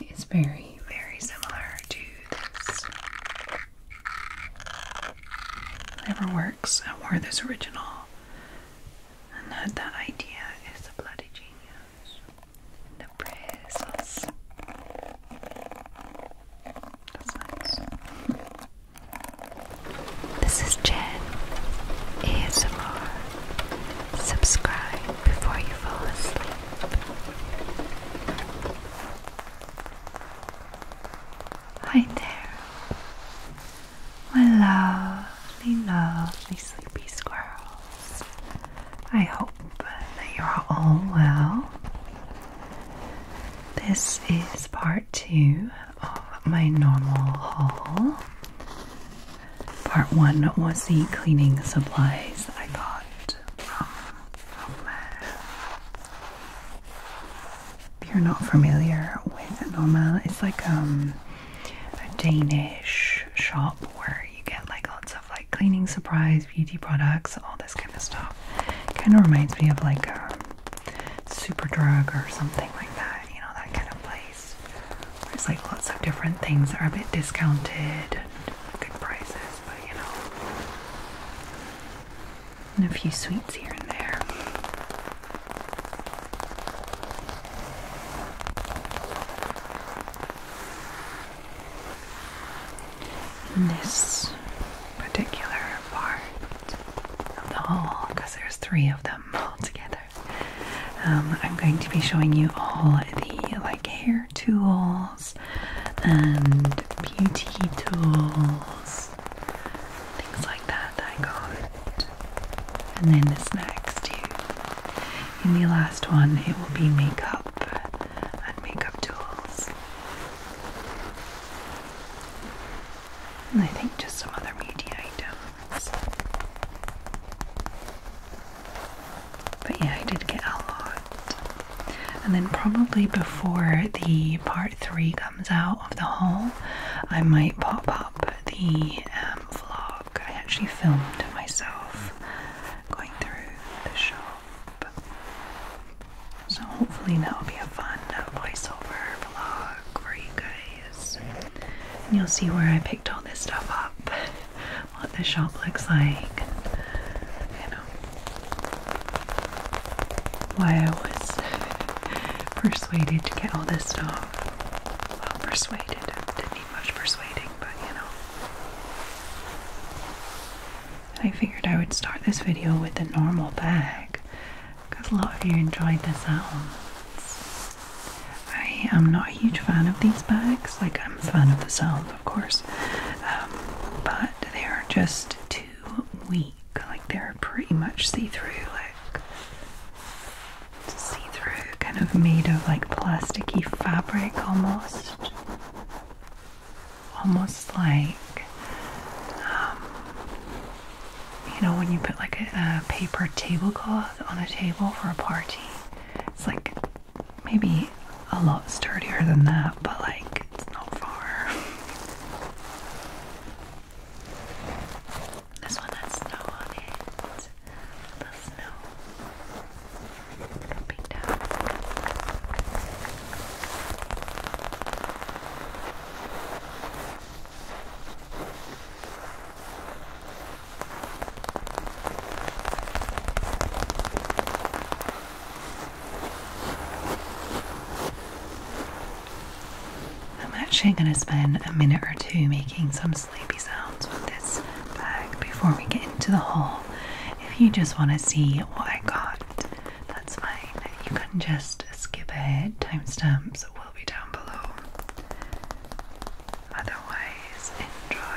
it is very, very similar to this. Never works and where this original and that that idea is a bloody genius. The bristles. That's nice. This is Jen ASMR. Subscribe before you fall asleep. Hi there, my lovely, lovely sleepy squirrels. I hope that you're all well. This is part two of my normal haul. Part one was the cleaning supplies I got from, from if you're not familiar with Norma, it's like um, a Danish shop where you get like lots of like cleaning supplies, beauty products, all this kind of stuff. Kind of reminds me of like a um, super drug or something like that, you know, that kind of place. There's like lots of different things that are a bit discounted and good prices, but you know. And a few sweets here and there. this particular part of the hall, because there's three of them all together, um, I'm going to be showing you all the like here tools and beauty tools, things like that, that I And then this next In the last one, it will be makeup and makeup tools. And I think just some other media items. But yeah, I did get a lot. And then probably before the part three comes out of the haul, I might pop up the um, vlog I actually filmed myself going through the shop. So hopefully that'll be a fun voiceover vlog for you guys. And you'll see where I picked all this stuff up what the shop looks like you know why I was persuaded to get all this stuff. Well, persuaded. Didn't need much persuading, but you know. I figured I would start this video with the normal bag because a lot of you enjoyed the sounds. I am not a huge fan of these bags, like I'm a fan of the sound, of course, um, but they are just too weak. Like they're pretty much see-through, like see-through, kind of made of like plasticky fabric almost, almost like um, you know when you put like a paper tablecloth on a table for a party. It's like maybe a lot sturdier than that, but like it's not far. This one has snow on it. The snow dropping down. I'm actually going to spend a minute or two making some sleepy sounds with this bag before we get into the haul. If you just want to see what I got, that's fine. You can just skip ahead, timestamps will be down below. Otherwise, enjoy.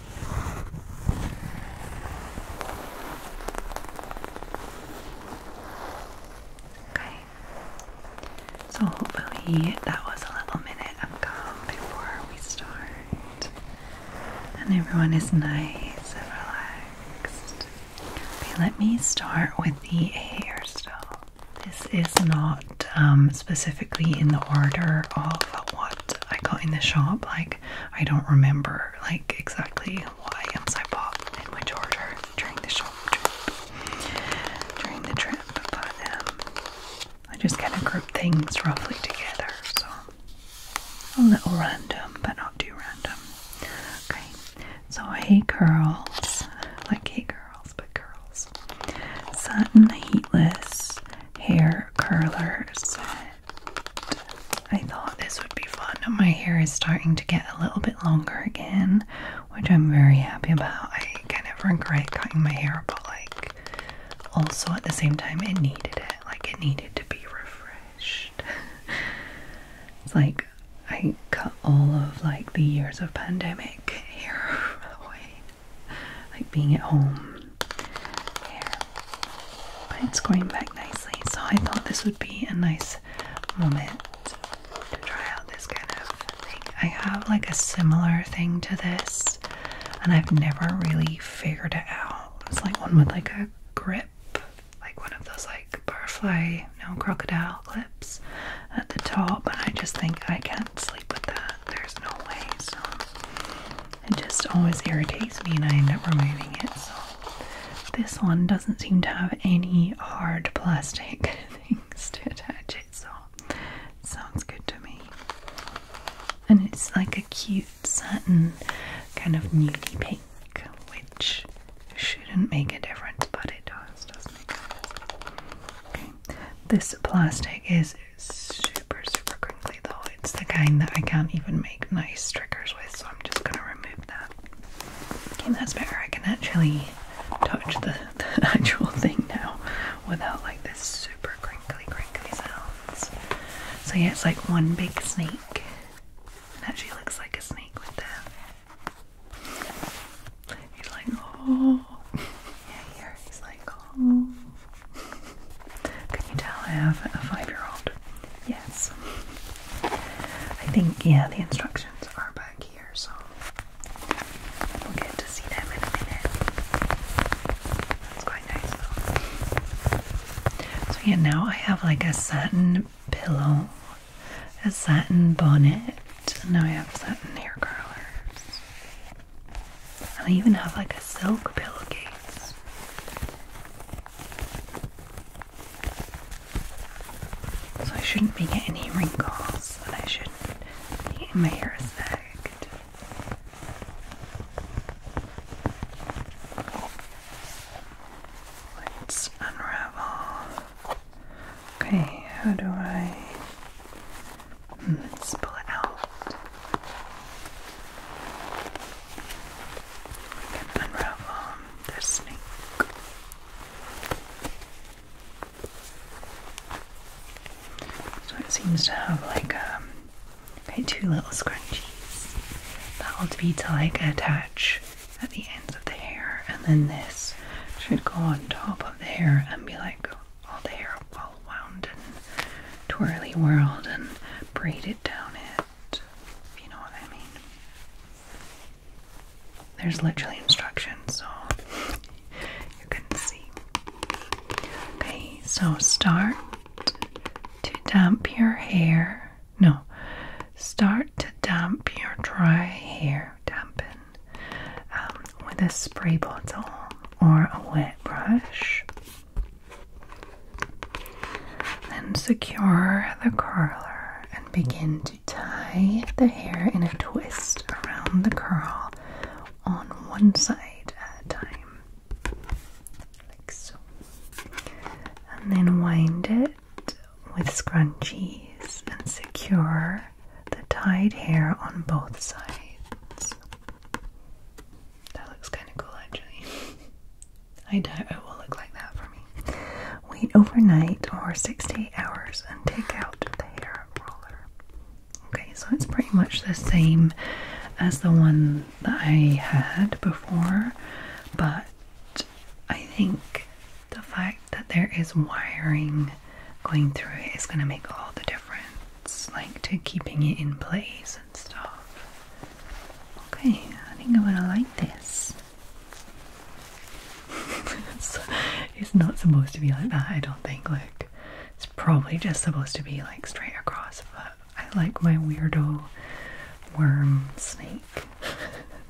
Okay. So hopefully that was a little minute of calm before we start. And everyone is nice and relaxed. let me start with the hairstyle. This is not um, specifically in the order of what I got in the shop. Like I don't remember like exactly what items I bought in which order during the shop trip. During the trip, but um, I just kind of group things roughly together. So a little random, but not too random. Okay, so hey curls, like hey curls, but curls. Satin heatless hair Curlers. I thought this would be fun. My hair is starting to get a little bit longer again, which I'm very happy about. I kind of regret cutting my hair, but like also at the same time, it needed it. Like it needed to be refreshed. it's like I cut all of like the years of pandemic hair away like being at home it's going back nicely, so I thought this would be a nice moment to try out this kind of thing. I have like a similar thing to this, and I've never really figured it out. It's like one with like a grip, like one of those like butterfly, no crocodile clips at the top, and I just think I can't sleep with that. There's no way, so it just always irritates me and I end up removing it. So this one doesn't seem to have any hard plastic things to attach it, so it sounds good to me. And it's like a cute satin kind of nudie pink, which shouldn't make a difference, but it does, doesn't it? Okay. This plastic is super, super crinkly though. It's the kind that I can't even make nice triggers with, so I'm just gonna remove that. Okay, that's better. I can actually touch the, actual thing now without like this super crinkly, crinkly sounds. So yeah, it's like one big snake. It actually looks like a snake with that. He's like, oh. Can you tell I have a five-year-old? Yes. I think, yeah, the instructions are back here, so we'll get to see them in a minute. That's quite nice, So, yeah, now I have like a satin pillow, a satin bonnet, and now I have satin hair curlers. And I even have like a silk pillowcase. So I shouldn't be getting any wrinkles and I shouldn't be getting my hair sagged. Let's unravel. Okay, how do I Let's pull it out. We can unravel the snake. So it seems to have like um, like two little scrunchies that will be to like attach at the ends of the hair, and then this should go on top of the hair and be like all the hair all wound and twirly whirled and braided down it. If you know what I mean. There's literally instructions, so you can see. Okay, so start to damp your hair. No, start to damp your dry hair, dampen um, with a spray bottle or a wet brush. Then secure the curler and begin to tie the hair in a twist around the curl on one side at a time. Like so. And then wind it with scrunchies and secure the tied hair on both sides. That looks kind of cool actually. I doubt it will look like that for me. Wait overnight or 6 hours and take out the hair roller. Okay, so it's pretty much the same as the one that I had before, but I think the fact that there is wiring going through it is going to make all the difference. It's like to keeping it in place and stuff. Okay, I think I'm gonna like this. it's, not supposed to be like that, I don't think. Like, it's probably just supposed to be like straight across, but I like my weirdo worm snake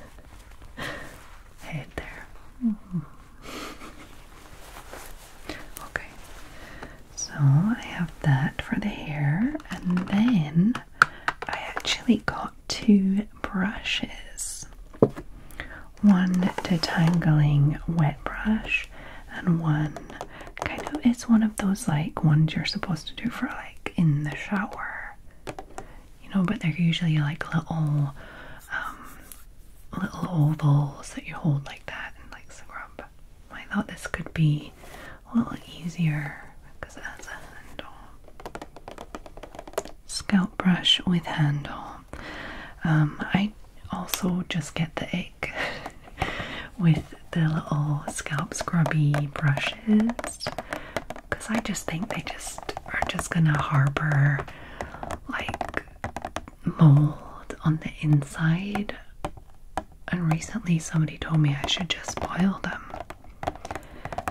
head there. Mm-hmm. Okay, so I have that for the hair, and then I actually got two brushes one detangling wet brush, and one kind of it's one of those like ones you're supposed to do for like in the shower, you know, but they're usually like little. Um, little ovals that you hold like that and like scrub I thought this could be a little easier because it has a handle. Scalp brush with handle. Um, I also just get the egg with the little scalp scrubby brushes because I just think they just are just gonna harbor like mold on the inside, and recently somebody told me I should just boil them.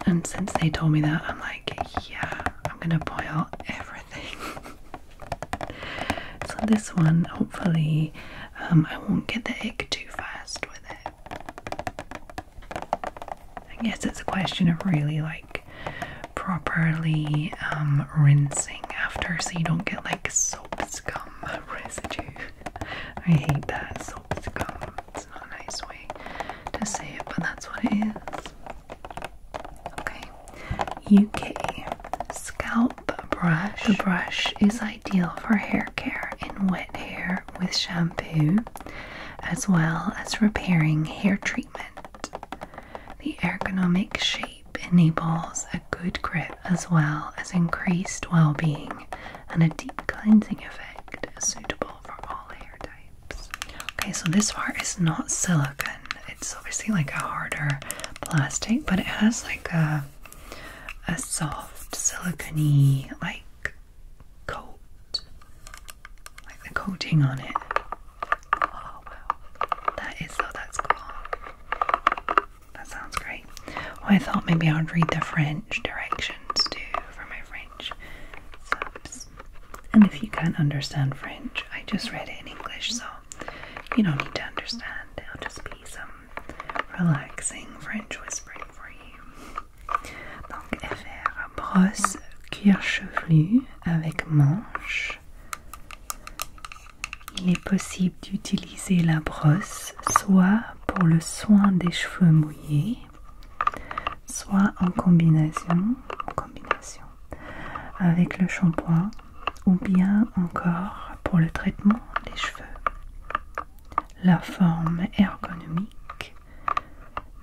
And since they told me that, I'm like, yeah, I'm gonna boil everything. so, this one, hopefully, um, I won't get the egg too fast with it. I guess it's a question of really like properly um, rinsing after so you don't get like soap scum gum residue. I hate that salted gum. It's not a nice way to say it, but that's what it is. Okay. UK scalp brush. The brush is ideal for hair care in wet hair with shampoo, as well as repairing hair treatment. The ergonomic shape enables a good grip as well as increased well being and a deep cleansing effect suitable for all hair types. Okay, so this part is not silicone, it's obviously like a harder plastic, but it has like a a soft silicony like coat, like the coating on it. Oh wow, that is so oh, that's cool. That sounds great. I thought maybe I would read the French directions too for my French subs. And if you can't understand French, I just read it in English, so you don't need to understand. It'll just be some relaxing French whispering for you. Donc, FR brosse cuir chevelu avec manche. Il est possible d'utiliser la brosse soit pour le soin des cheveux mouillés, soit en combinaison, avec le shampoing ou bien encore pour le traitement des cheveux. La forme ergonomique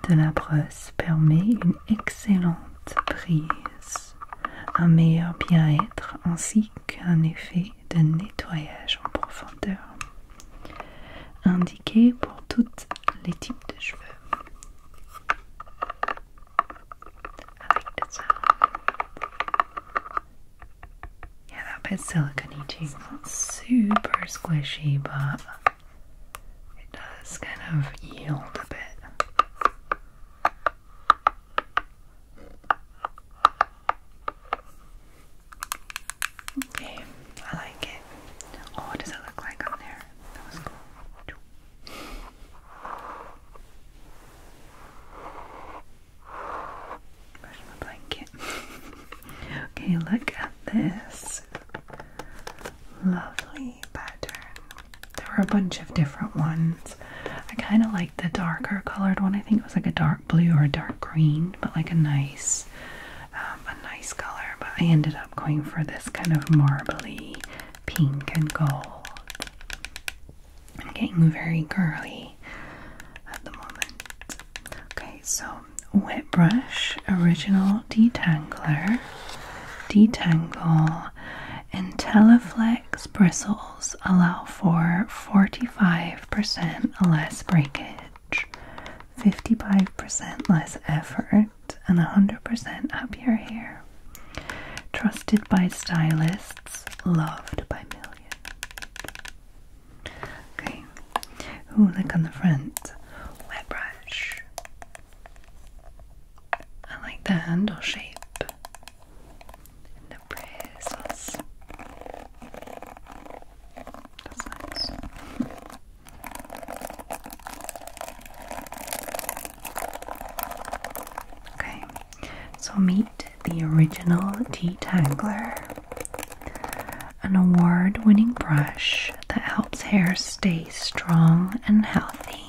de la brosse permet une excellente prise un meilleur bien-être ainsi qu'un effet de nettoyage en profondeur indiqué pour tous les types de cheveux. avec like that Yeah, that silicone-y super squishy, but it does kind of yield a bit. Okay, I like it. Oh, what does it look like on there? blanket? okay, look at this lovely pattern. There were a bunch of different ones. I kind of like the darker colored one. I think it was like a dark blue or a dark green, but like a nice, um, a nice color. But I ended up going for this kind of marbly pink and gold. I'm getting very girly at the moment. Okay, so wet brush, original detangler, detangle, and Teleflex. Relax bristles allow for 45% less breakage, 55% less effort, and 100% happier hair. Trusted by stylists, loved by millions. Okay, who look on the front? Wet brush. I like the handle shape the praise okay so meet the original detangler an award-winning brush that helps hair stay strong and healthy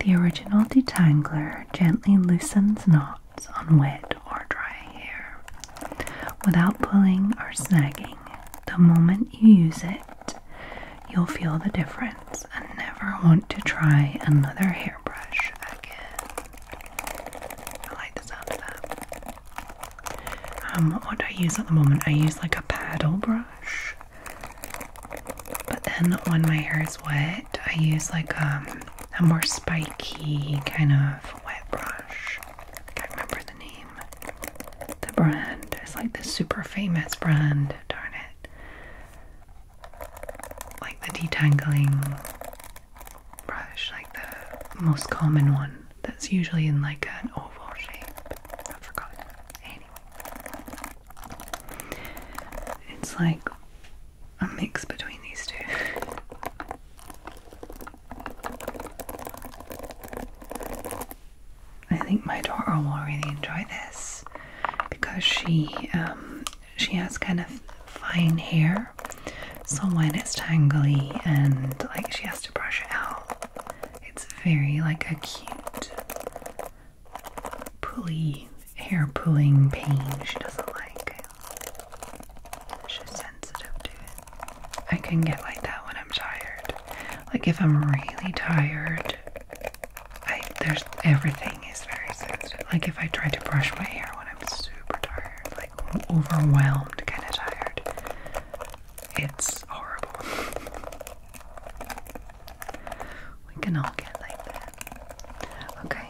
the original detangler gently loosens knots on wet or dry hair without pulling or snagging. The moment you use it, you'll feel the difference and never want to try another hairbrush again. I like the sound of that. Um, what do I use at the moment? I use like a paddle brush. But then when my hair is wet, I use like um, a more spiky kind of wet brush. can't remember the name. The brand. It's like the super famous brand, darn it. Like the detangling brush, like the most common one that's usually in like an oval shape. I forgot. Anyway. It's like a mix between these two. I think my daughter will really enjoy this because she um, she has kind of fine hair, so when it's tangly and like she has to brush it out, it's very like a cute pulley hair pulling pain she doesn't like. She's sensitive to it. I can get like that when I'm tired. Like if I'm really tired, I there's everything is very sensitive. Like if I try to brush my hair when I'm super tired, like overwhelmed, kind of tired, it's horrible. we can all get like that. Okay,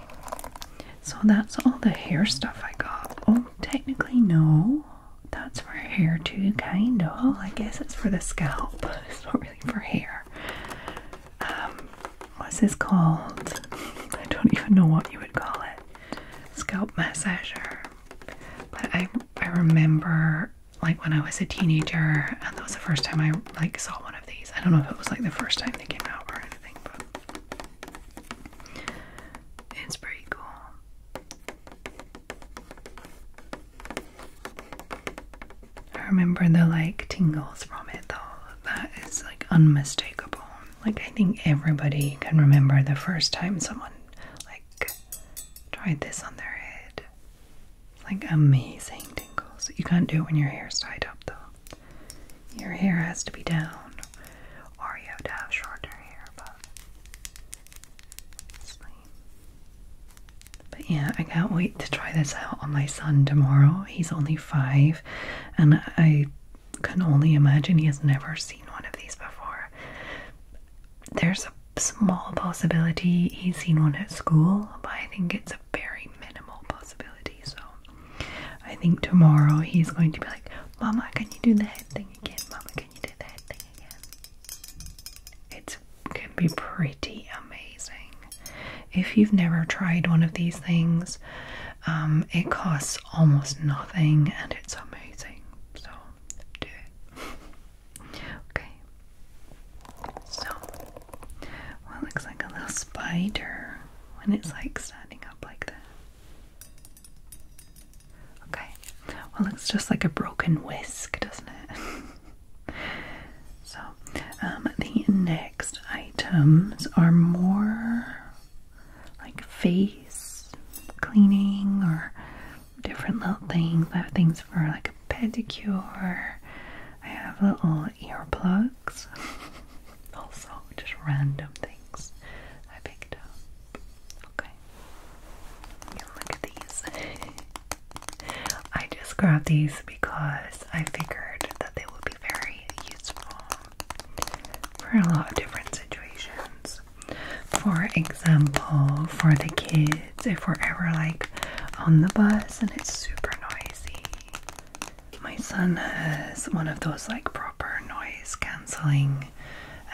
so that's all the hair stuff I got. Oh, technically, no, that's for hair too, kind of. I guess it's for the scalp, it's not really for hair. Um, what's this called? I don't even know what you would call it. Scalp massager. But I, I remember like when I was a teenager, and that was the first time I like saw one of these. I don't know if it was like the first time they came out or it's pretty cool. I remember the like tingles from it though. That is like unmistakable. Like I think everybody can remember the first time someone like tried this on their head. Like amazing tingles. You can't do it when your hair's tied up though your hair has to be down, or you have to have shorter hair. But, but yeah, I can't wait to try this out on my son tomorrow. He's only five, and I can only imagine he has never seen one of these before. There's a small possibility he's seen one at school, but I think it's a very minimal possibility. So I think tomorrow he's going to be like, Mama, can you do the head thing again? Mama, can you do the thing again? It can be pretty amazing. If you've never tried one of these things, um, it costs almost nothing and it's amazing. So do it. okay. So, looks like a little spider when it's like standing up like that. Okay, well, it's just like a broken whisk, doesn't it? so, um, the next items are more like face cleaning or different little things. I have things for like a pedicure, I have little earplugs, also just random things I picked up. Okay, yeah, look at these. I just grabbed these because I figured that they would be very useful for a lot of different situations. For example, for the kids, if we're ever like on the bus and it's super noisy my son has one of those like proper noise cancelling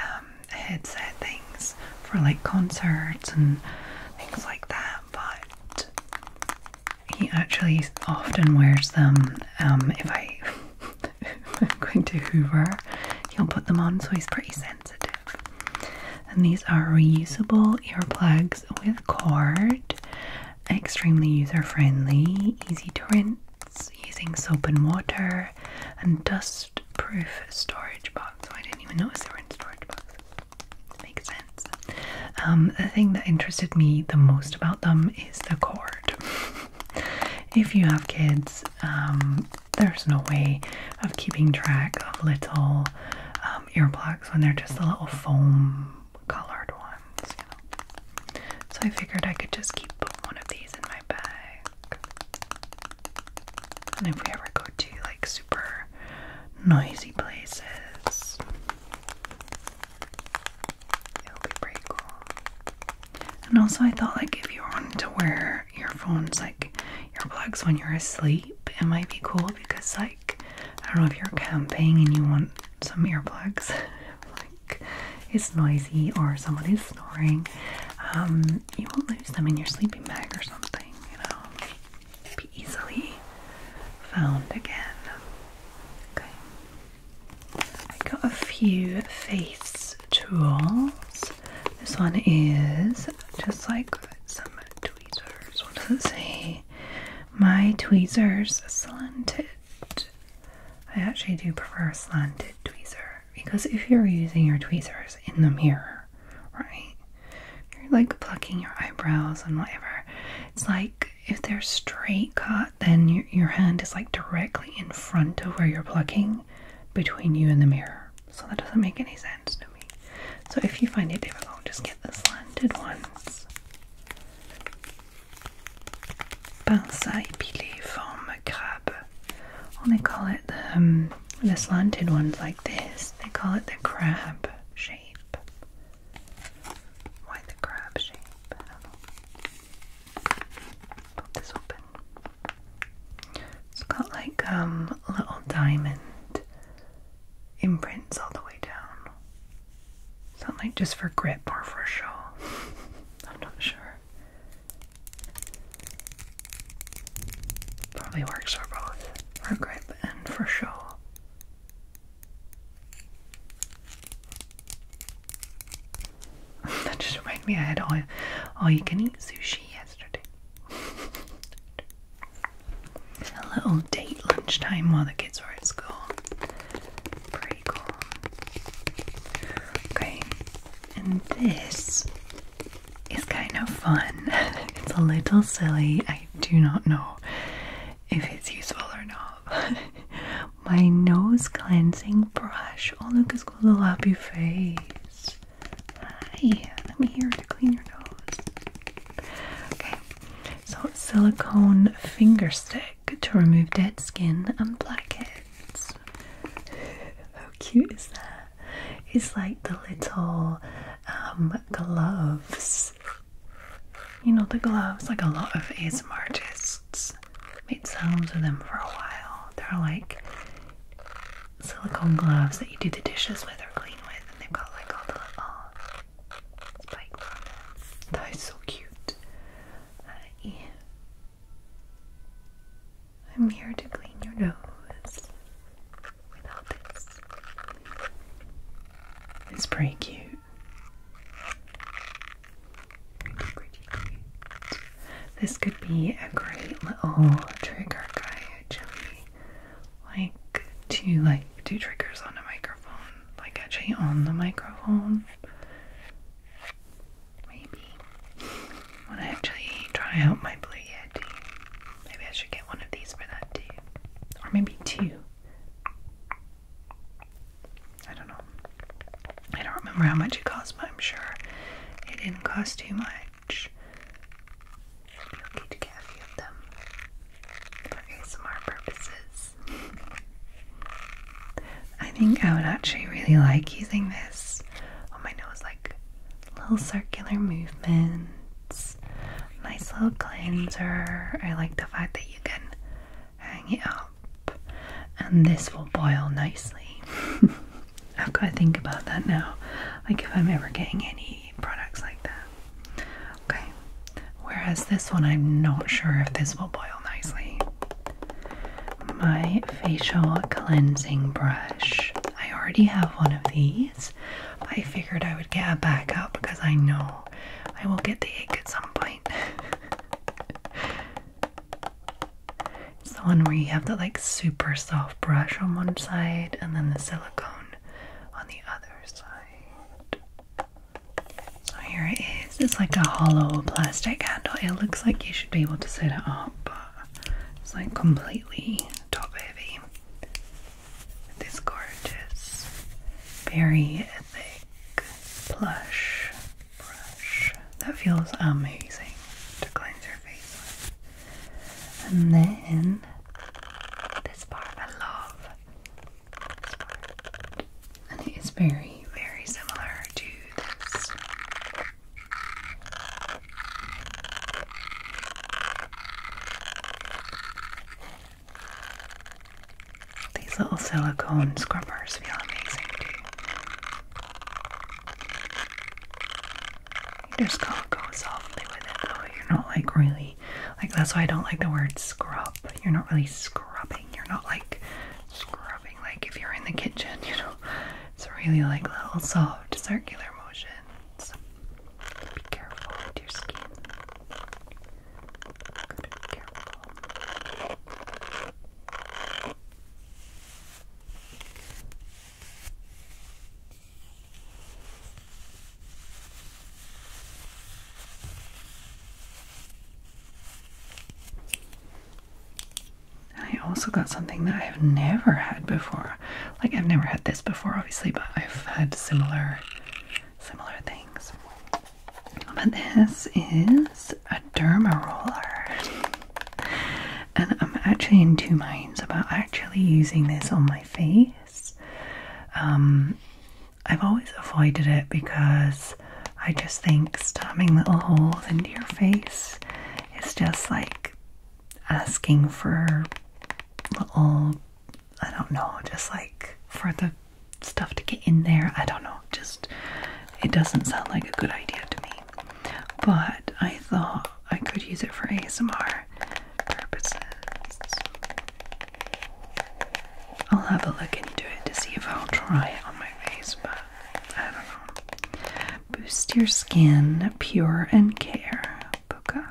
um, headset things for like concerts and things like that, but he actually often wears them um, if I'm going to Hoover, he'll put them on so he's pretty sensitive. And these are reusable earplugs with cord extremely user-friendly, easy to rinse, using soap and water, and dust-proof storage box. I didn't even notice they were storage box. Makes sense. Um, the thing that interested me the most about them is the cord. if you have kids, um, there's no way of keeping track of little um, earplugs when they're just a little foam colored ones, So I figured I could just keep one of these in my bag. And if we ever go to like super noisy places, it'll be pretty cool. And also, I thought like if you wanted to wear earphones, like plugs, when you're asleep, it might be cool because like I don't know if you're camping and you want some earplugs, like it's noisy or someone is snoring, um, you will not lose them in your sleeping bag or something, you know, be easily found again. Okay. I got a few face tools. This one is just like some tweezers. What does it say? My tweezers slanted. I actually do prefer slanted tweezers because if you're using your tweezers in the mirror, right, you're like plucking your eyebrows and whatever. It's like if they're straight cut, then your, your hand is like directly in front of where you're plucking between you and the mirror. So that doesn't make any sense to me. So if you find it difficult, just get the slanted ones. Balsai pili from crab. Or they call it um, the, slanted ones like this. They call it the crab shape. Why the crab shape? Pop this open. It's got like um, little diamond imprints all the way down. Is like just for grip or for show? I'm not sure. Probably works for both. For grip and for show. that just reminded me I had all, all you can eat sushi yesterday. A little date lunchtime while the kids were at school. Pretty cool. Okay, and this is kind of fun. it's a little silly. I do not know if it's useful or not. My nose cleansing brush. Oh, look, it's going to a your face. Hi, I'm here to clean your nose. Okay, so, silicone finger stick to remove dead skin and blackheads. How cute is that? It's like the little um, gloves. You know, the gloves, like a lot of ASMR artists made sounds with them for a while. They're like silicone gloves that you do the dishes with or clean with, and they've got like all the little that is so cute. Uh, I, am here to clean your nose without this. It's pretty cute. This could be a great little trigger guy actually. Like two like two triggers on a microphone like actually on the microphone. Maybe. I want to actually try out my Blue Maybe I should get one of these for that too. Or maybe two. I don't know. I don't remember how much it cost, but I'm sure it didn't cost too much. You'll to get a few of them for ASMR purposes. I think I would actually really like using this on my nose, like little circular movements, nice little cleanser. I like the fact that you can hang it up and this will boil nicely. I've got to think about that now. Like if I'm ever getting any products like that, Okay. Whereas this one, I'm not sure if this will boil nicely. My facial cleansing brush. I already have one of these, I figured I would get a backup because I know I will get the itch at some point. it's the one where you have the like super soft brush on one side and then the silicone on the other side. So here it is. It's like a hollow plastic handle. It looks like you should be able to set it up, but it's like completely top heavy. This gorgeous, very thick plush brush that feels amazing to cleanse your face with. And then this part, I love and it is very, very similar to this. These little silicone scrubbers feel amazing too. You just gotta go softly with it though. You're not like really, like that's why I don't like the word scrub. You're not really scrubbing you're not like scrubbing like if you're in the kitchen, you know. It's really like little soft circular motions. Be careful with your skin. got careful. I also got something that I have never had before. Like I've never had this before obviously, but I've had similar similar things. But this is a derma roller. And I'm actually in two minds about actually using this on my face. Um I've always avoided it because I just think stabbing little holes into your face is just like asking for little, I don't know, just like for the stuff to get in there. I don't know, just it doesn't sound like a good idea to me. But I thought I could use it for ASMR purposes. I'll have a look into it to see if I'll try it on my face, but I don't know. Boost your skin, pure and care. Buka.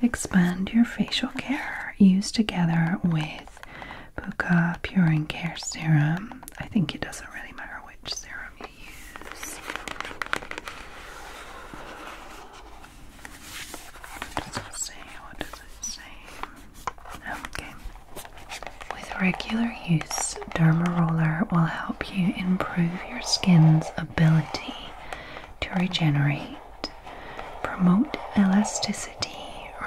Expand your facial care. Use together with Puka Pure and Care Serum. I think it doesn't really matter which serum you use. What does it say? What does it say? With regular use, dermaroller will help you improve your skin's ability to regenerate, promote elasticity,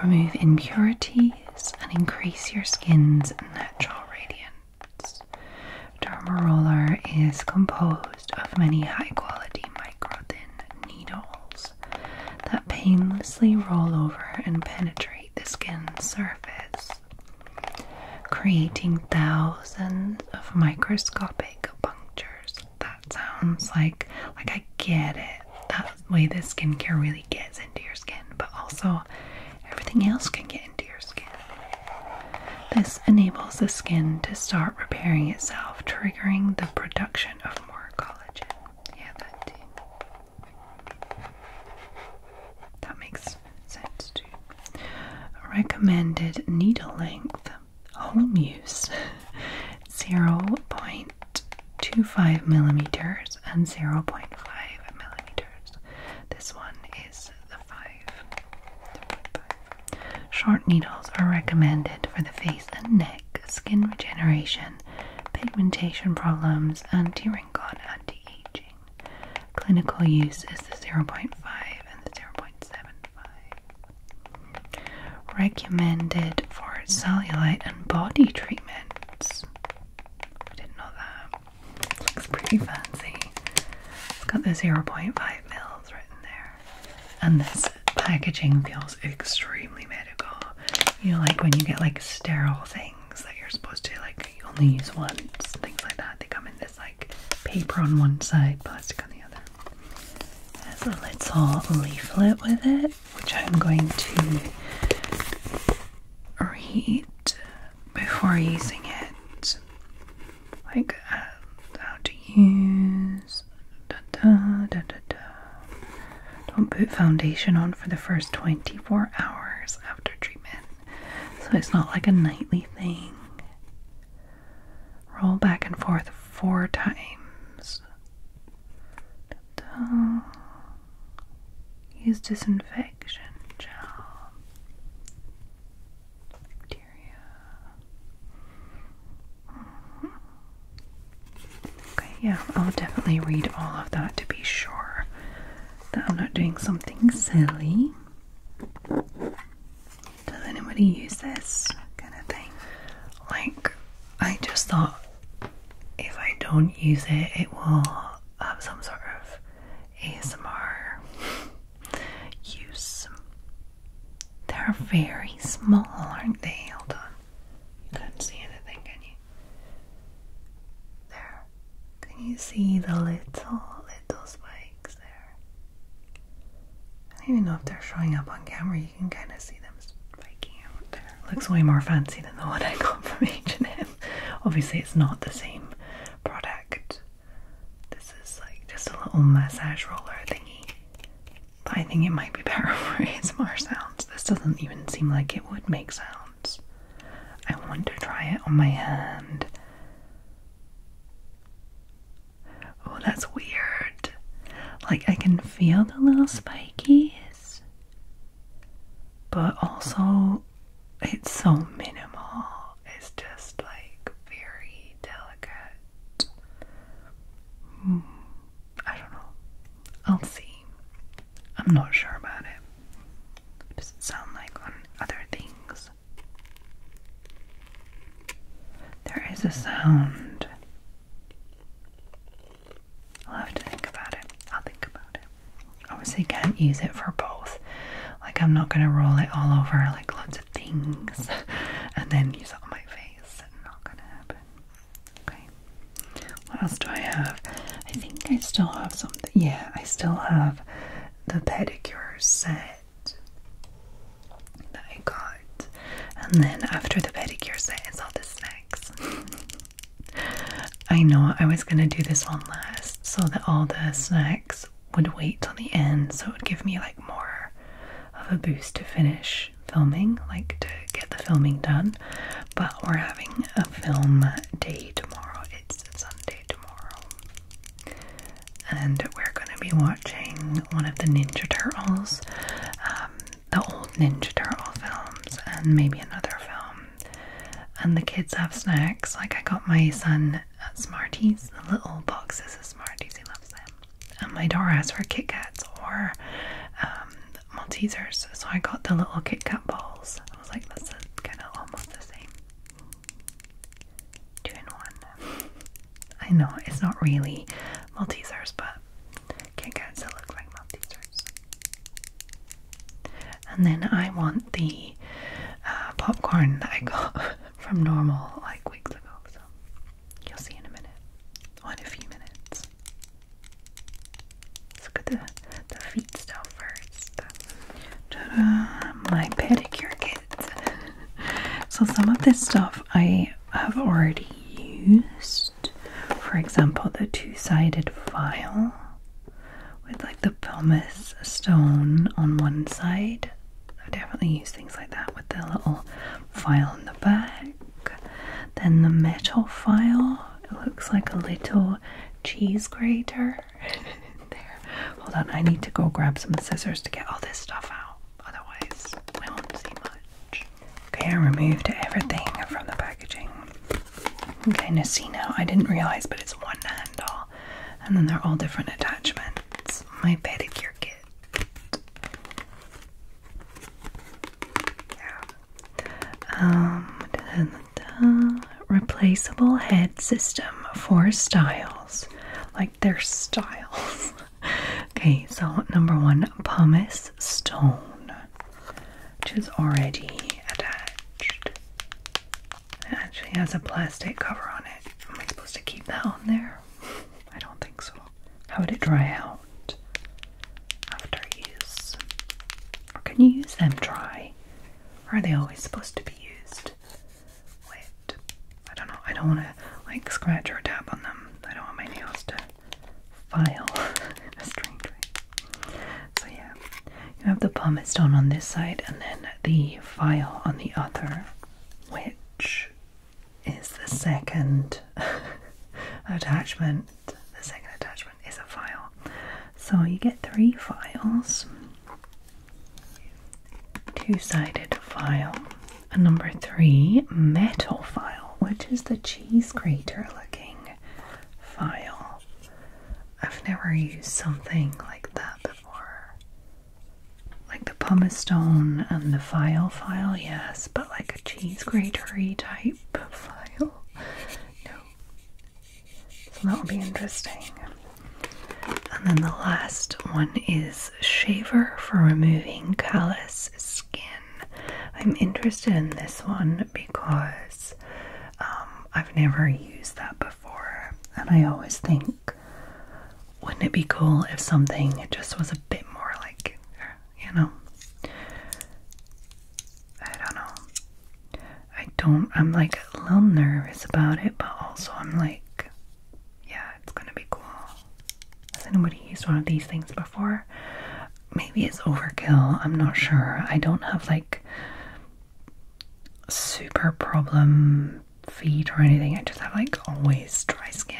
remove impurities, and increase your skin's natural radiance. Dermaroller is composed of many high quality microthin needles that painlessly roll over and penetrate the skin's surface, creating thousands of microscopic punctures. That sounds like like I get it. That way the skincare really gets into your skin, but also everything else can get into your skin. This enables the skin to start repairing itself, triggering the production of more collagen. Yeah, that That makes sense too. Recommended needle length home use 0.25 millimeters and 0.5 millimeters. This one is the 5. Short needles are recommended for the face and neck, skin regeneration, pigmentation problems, and tearing god anti aging. Clinical use is the 0.5 and the 0.75. Recommended for cellulite and body treatments. I didn't know that. Looks pretty fancy. It's got the 0.5 mils written there. And this packaging feels extremely medical. You know, like when you get like sterile things that you're supposed to like you only use once, things like that. They come in this like paper on one side, plastic on the other. has a little leaflet with it, which I'm going to read before using it. Like uh, how to use don't put foundation on for the first 24 hours after treatment, so it's not like a nightly thing. Roll back and forth four times. Use disinfection gel. Bacteria. Mm-hmm. Okay, yeah, I'll definitely read all of that to be sure that I'm not doing something silly. Does anybody use this kind of thing? Like, I just thought if I don't use it, it will have some sort of ASMR use. They're very small, aren't they? Hold on. You couldn't see anything, can you? There. Can you see the little, little spikes there? I don't even know if they're showing up on camera. You can kind of see them spiking out there. Looks way more fancy than the one I got from H&M. Obviously, it's not the same product. This is like just a little massage roller thingy. I think it might be paraphrase more sounds. This doesn't even seem like it would make sounds. I want to try it on my hand. Oh, that's weird. Like, I can feel the little spikies, but also it's so minimal. It's just like very delicate. Hmm. I don't know. I'll see. I'm not sure about it. Does it sound like on other things? There is a sound. I'll have to think about it. I'll think about it. Obviously, can't use it for both. Like, I'm not gonna roll it all over like lots of things and then use it on my face. Not gonna happen. Okay. What else do I have? I think I still have something. Yeah, I still have the pedicure set that I got. And then after the pedicure set is all the snacks. I know I was gonna do this one last so that all the snacks would wait till the end so it would give me like more of a boost to finish filming, like to get the filming done, but we're having a film day tomorrow. It's Sunday tomorrow. And we're going to be watching one of the Ninja Turtles, um, the old Ninja Turtle films, and maybe another film. And the kids have snacks. Like, I got my son at Smarties, the little boxes of Smarties, he loves them. And my daughter has for Kit Kats or um, Maltesers, so I got the little Kit Kat balls. I was like, this is kind of almost the same. Two in one. I know it's not really Maltesers, but Kit Kats that look like Maltesers. And then I want the uh, popcorn that I got from Normal like weeks ago, so you'll see in a minute. in a few minutes. Let's look at the, the feet stuff 1st My pedicure kits. so some of this stuff I have already used. For example, the two-sided file with like the pumice stone on one side. I definitely use things like that with the little file in the back. Then the metal file, it looks like a little cheese grater. there. Hold on, I need to go grab some scissors to get all this stuff out. Otherwise, I won't see much. Okay, I removed everything from the packaging. Okay, kind see now. I didn't realize, but it's one handle. And then they're all different attachments. My pedicure kit. Yeah, um, Replaceable head system for styles, like their styles. okay, so number one, pumice stone, which is already attached. It actually has a plastic cover on it. Am I supposed to keep that on there? I don't think so. How would it dry out after use? Or can you use them dry? Or are they always supposed to be used wet? I don't know. I don't want to like scratch or tap on them. I don't want my nails to file a strange way. So yeah, you have the pumice stone on this side and then the file on the other, which is the second attachment the second attachment is a file. So you get three files two sided file, number three, metal file, which is the cheese grater looking file. I've never used something like that before. Like the pumice stone and the file file, yes, but like a cheese gratery type file. No. So that will be interesting. And then the last one is shaver for removing callous skin. I'm interested in this one because um, I've never used that before, and I always think, wouldn't it be cool if something just was a bit more like you know. I don't know. I don't, I'm like a little nervous about it, but also I'm like, yeah, it's gonna be cool. Has anybody used one of these things before? Maybe it's overkill, I'm not sure. I don't have like super problem feet or anything, I just have like always dry skin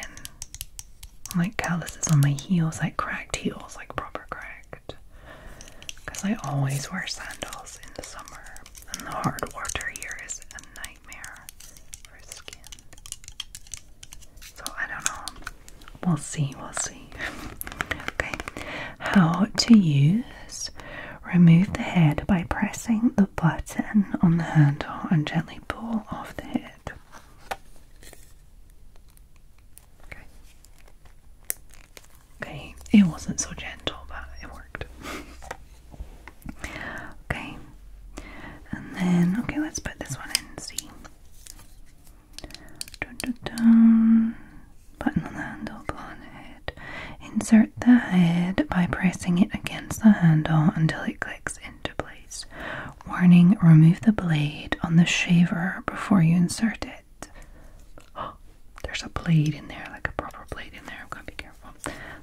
like calluses on my heels, like cracked heels, like proper cracked. Because I always wear sandals in the summer, and the hard water here is a nightmare for skin. So I don't know. We'll see, we'll see. okay, how to use remove the head by pressing the button on the handle and gently pull off the head. Okay. Okay, it wasn't so gentle, but it worked. okay, and then, okay, let's put this one in C. Dun, Button on the handle, on head. Insert the head by pressing it against the handle until it clicks into place. Warning remove the blade on the shaver before you insert it. Oh, there's a blade in there, like a proper blade in there. i am going to be careful.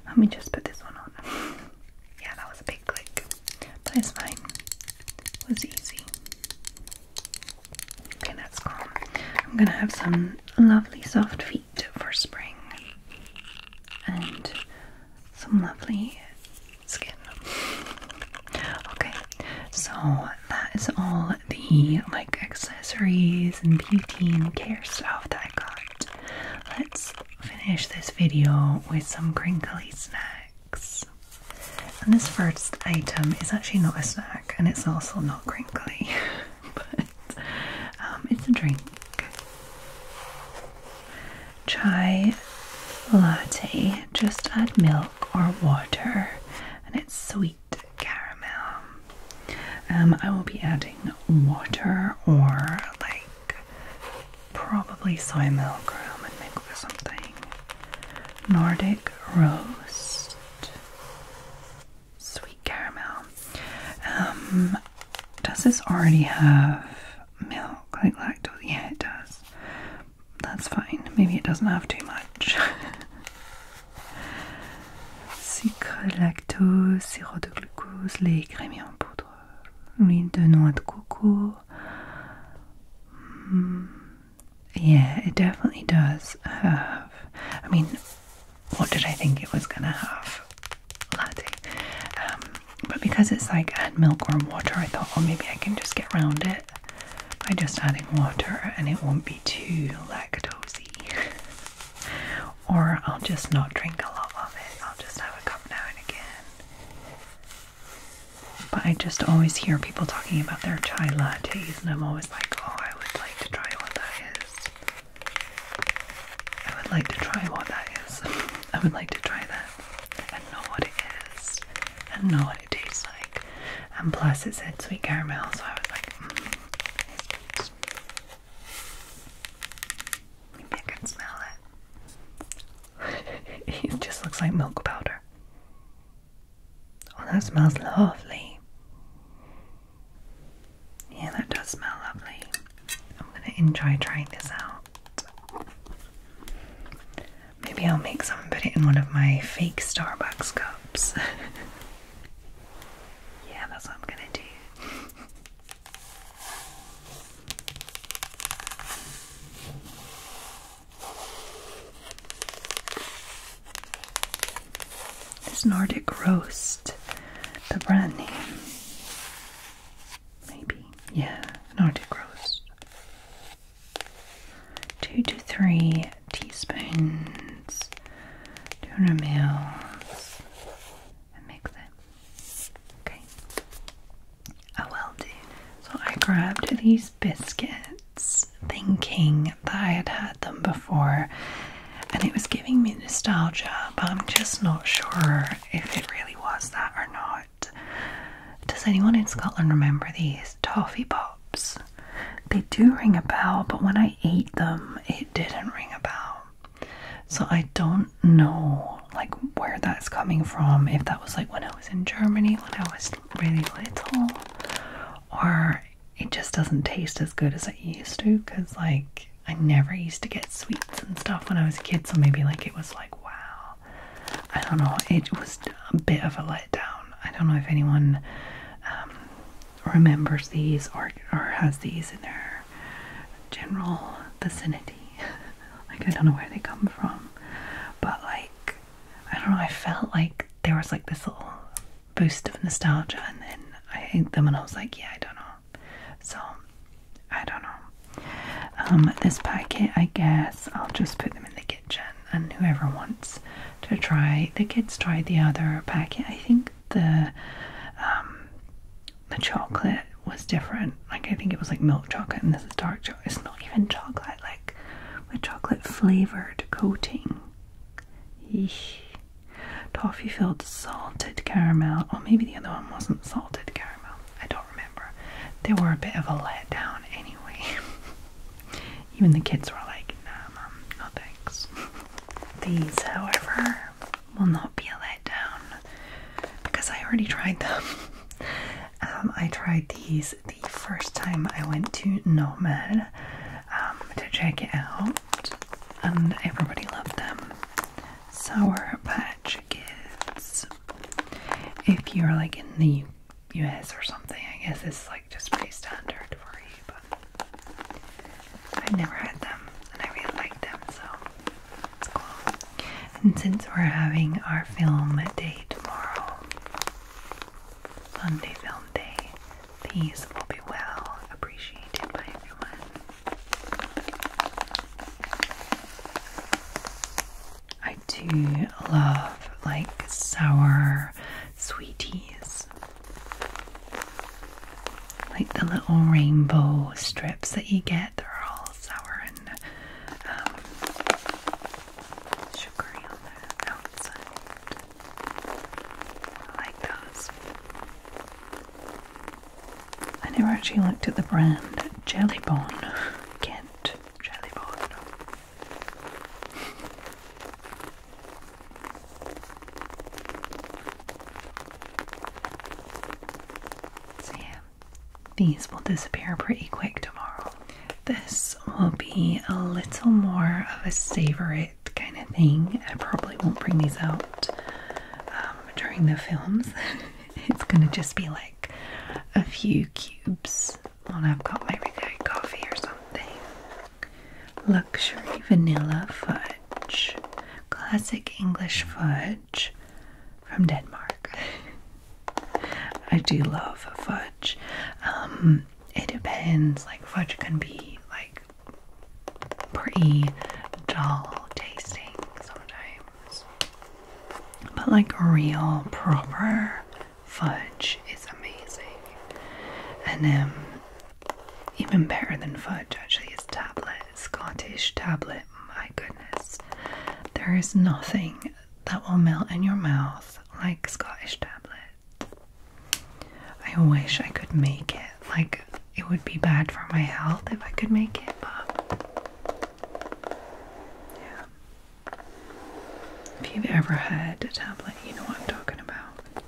Let me just put this one on. yeah, that was a big click, but it's fine. was easy. Okay, that's calm. I'm gonna have some lovely soft feet for spring and some lovely skin. Okay, so that is all the like accessories and beauty and care stuff that I got. Let's finish this video with some crinkly snacks. And this first item is actually not a snack and it's also not crinkly, but um, it's a drink. Chai latte. Just add milk or water, and it's sweet caramel. Um, I will be adding water or like probably soy milk or almond milk or something. Nordic roast, sweet caramel. Um, does this already have milk like lactose? Yeah, it does that's fine. Maybe it doesn't have too much. Sucre, lactose, sirop glucose, lait écrémé en poudre, l'huile de noix hmm. yeah, it definitely does have. I mean, what did I think it was gonna have? Latte. Um, but because it's like add milk or water, I thought, well, maybe I can just get round it by just adding water and it won't be too lactosey. or I'll just not drink a lot of it, I'll just have a cup now and again. But I just always hear people talking about their chai lattes, and I'm always like, oh, I would like to try what that is. I would like to try what that is. I would like to try that and know what it is and know what it tastes like and plus it said sweet caramel, so I was like, mm. I can smell it. it just looks like milk powder. Oh, that smells lovely. Yeah, that does smell lovely. I'm gonna enjoy trying this out. Maybe I'll make some and put it in one of my fake Starbucks cups. yeah, that's what I'm gonna do. This Nordic Roast, the brand name. Maybe. Yeah, Nordic Roast two to three teaspoons, 200 mils, and mix it. Okay, I will do. So I grabbed these biscuits thinking that I had had them before, and it was giving me nostalgia, but I'm just not sure if it really was that or not. Does anyone in Scotland remember these toffee pops? They do ring a bell, but when I ate them, it didn't ring a bell. So I don't know like where that's coming from. If that was like when I was in Germany when I was really little, or it just doesn't taste as good as it used to because like I never used to get sweets and stuff when I was a kid, so maybe like it was like wow, I don't know, it was a bit of a letdown. I don't know if anyone um, remembers these or, or has these in their general vicinity. like, I don't know where they come from, but like, I don't know, I felt like there was like this little boost of nostalgia, and then I ate them and I was like, yeah, I don't know. So, I don't know. Um, this packet, I guess I'll just put them in the kitchen and whoever wants to try. The kids tried the other packet. I think the um, the chocolate was different. Like I think it was like milk chocolate, and this is dark chocolate. It's not even chocolate. Like the chocolate flavored coating. Eesh. Toffee filled salted caramel, or maybe the other one wasn't salted caramel. I don't remember. They were a bit of a letdown anyway. Even the kids were like, nah, mom, no thanks. These, however, will not be a letdown because I already tried them. Um, I tried these the first time I went to Nomad um, to check it out, and everybody loved them. Sour Patch Kids. If you're like in the US or something. I guess it's like just pretty standard for you, but I've never had them and I really like them, so cool. And since we're having our film day tomorrow, Sunday film day, these will be well appreciated by everyone. I do love like sour sweeties. Like the little rainbow strips that you get, they're all sour and um, sugary on the outside. I like those. I never actually looked at the brand Jellybon. Kent Jellybon. So yeah, these will disappear pretty quick tomorrow. This will be a little more of a savor it kind of thing. I probably won't bring these out um, during the films. it's gonna just be like a few cubes well, I've got maybe coffee or something. Luxury vanilla fudge. Classic English fudge from Denmark. I do love fudge. Um, it depends. Like fudge can be like pretty dull tasting sometimes, but like real proper fudge is amazing. And then um, even better than fudge, actually, is tablet, Scottish tablet. My goodness, there is nothing that will melt in your mouth like Scottish tablet. I wish I could make it. Like, it would be bad for my health if I could make it, but yeah. If you've ever had a tablet, you know what I'm talking about.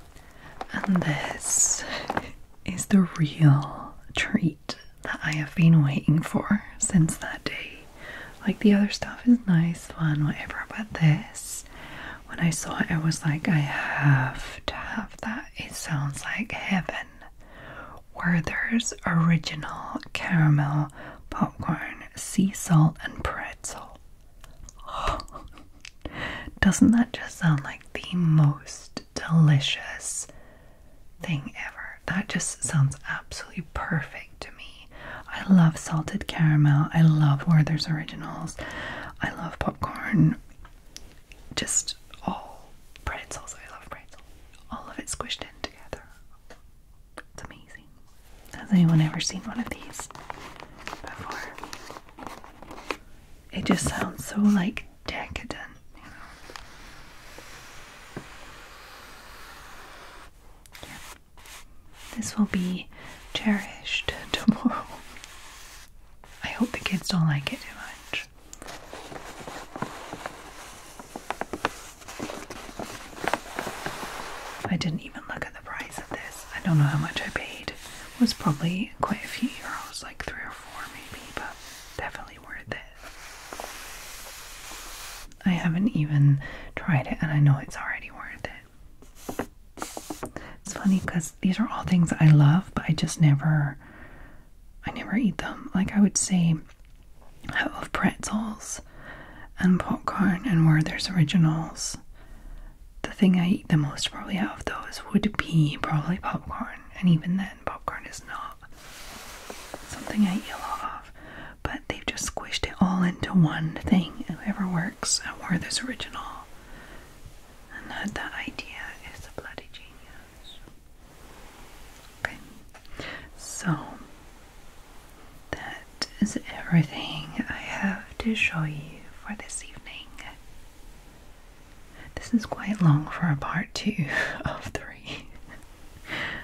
And this is the real treat that I have been waiting for since that day. Like the other stuff is nice, fun, whatever, but this, when I saw it, I was like, I have to have that. It sounds like heaven. Werther's original caramel popcorn, sea salt, and bread pretzel. Oh, doesn't that just sound like the most delicious thing ever? That just sounds absolutely perfect to me. I love salted caramel, I love Werther's Originals, I love popcorn, just all pretzels. I love pretzels. All of it squished in together. It's amazing. Has anyone ever seen one of these before? It just sounds so like decadent, you know. This will be cherished tomorrow. I hope the kids don't like it too much. I didn't even look at the price of this. I don't know how much I paid. It was probably quite a few euros, like three or four maybe, but definitely worth it. I haven't even tried it and I know it's already worth it. It's funny because these are all things I love, but I just never I never eat them. Like I would say I love pretzels and popcorn and Werther's originals. The thing I eat the most probably out of those would be probably popcorn, and even then, popcorn is not something I eat a lot of. But they've just squished it all into one thing. Whoever works at Werther's Original and had that idea is a bloody genius. Okay, so that is everything I have to show you for this evening. This is quite long for a part two of three.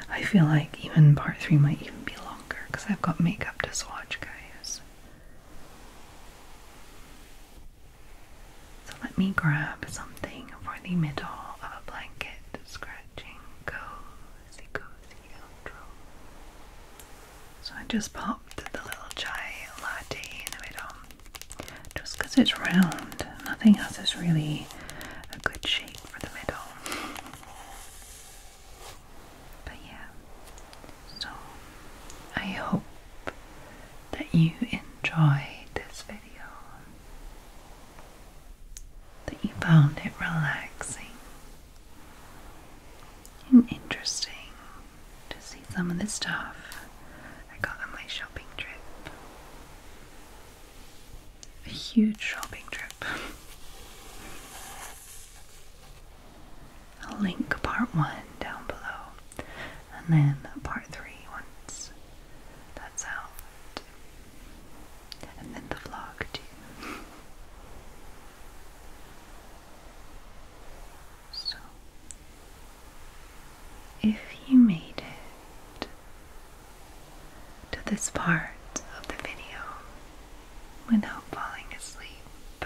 I feel like even part three might even be longer because I've got makeup to swatch, guys. So let me grab something for the middle of a blanket scratching go so I just popped the little chai latte in the middle, just because it's round. Nothing else is really a good shape for the middle. But yeah, so I hope that you enjoyed this video that you found it relaxing and interesting to see some of the stuff I got on my shopping trip. A huge shopping trip. I'll link part one down below and then part three once that's out and then the vlog too. So, if you made it to this part of the video without falling asleep,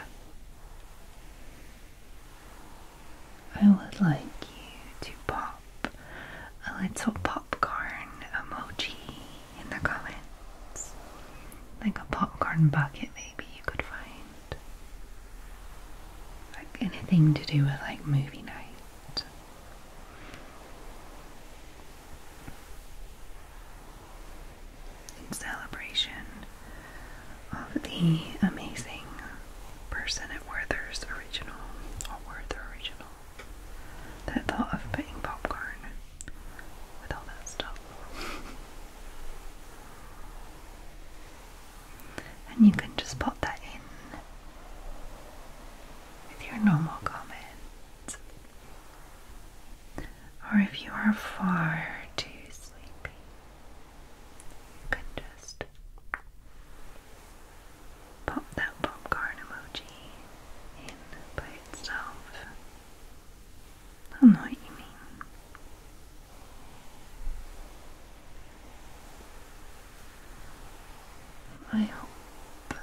I would like you to pop a little popcorn emoji in the comments. Like a popcorn bucket, maybe you could find. Like anything to do with like movie night. In celebration of the amazing person at Werther's Original, or Werther Original, that thought of putting popcorn with all that stuff. and you can just pop that in with your normal comments. Or if you are far too sleepy, you can just pop that popcorn emoji in by itself. I know what you mean. I hope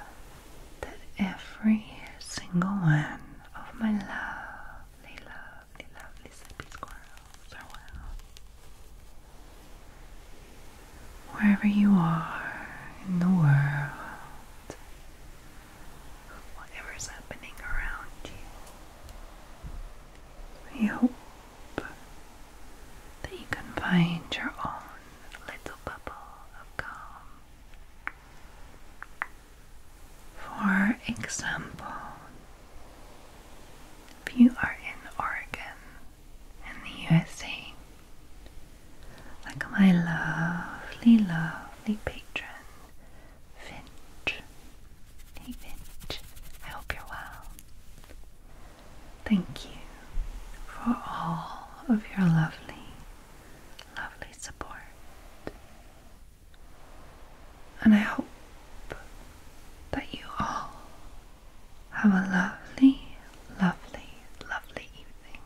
that every single one of my lovely, lovely, lovely sleepy squirrels are well. Wherever you are in the world, Whatever is happening around you. We hope that you can find your own little bubble of calm. For example, if you are in Oregon in the USA like my lovely, lovely patron, Finch. Hey Finch, I hope you're well. Thank you for all of your lovely, lovely support. And I hope that you all have a lovely, lovely, lovely evening.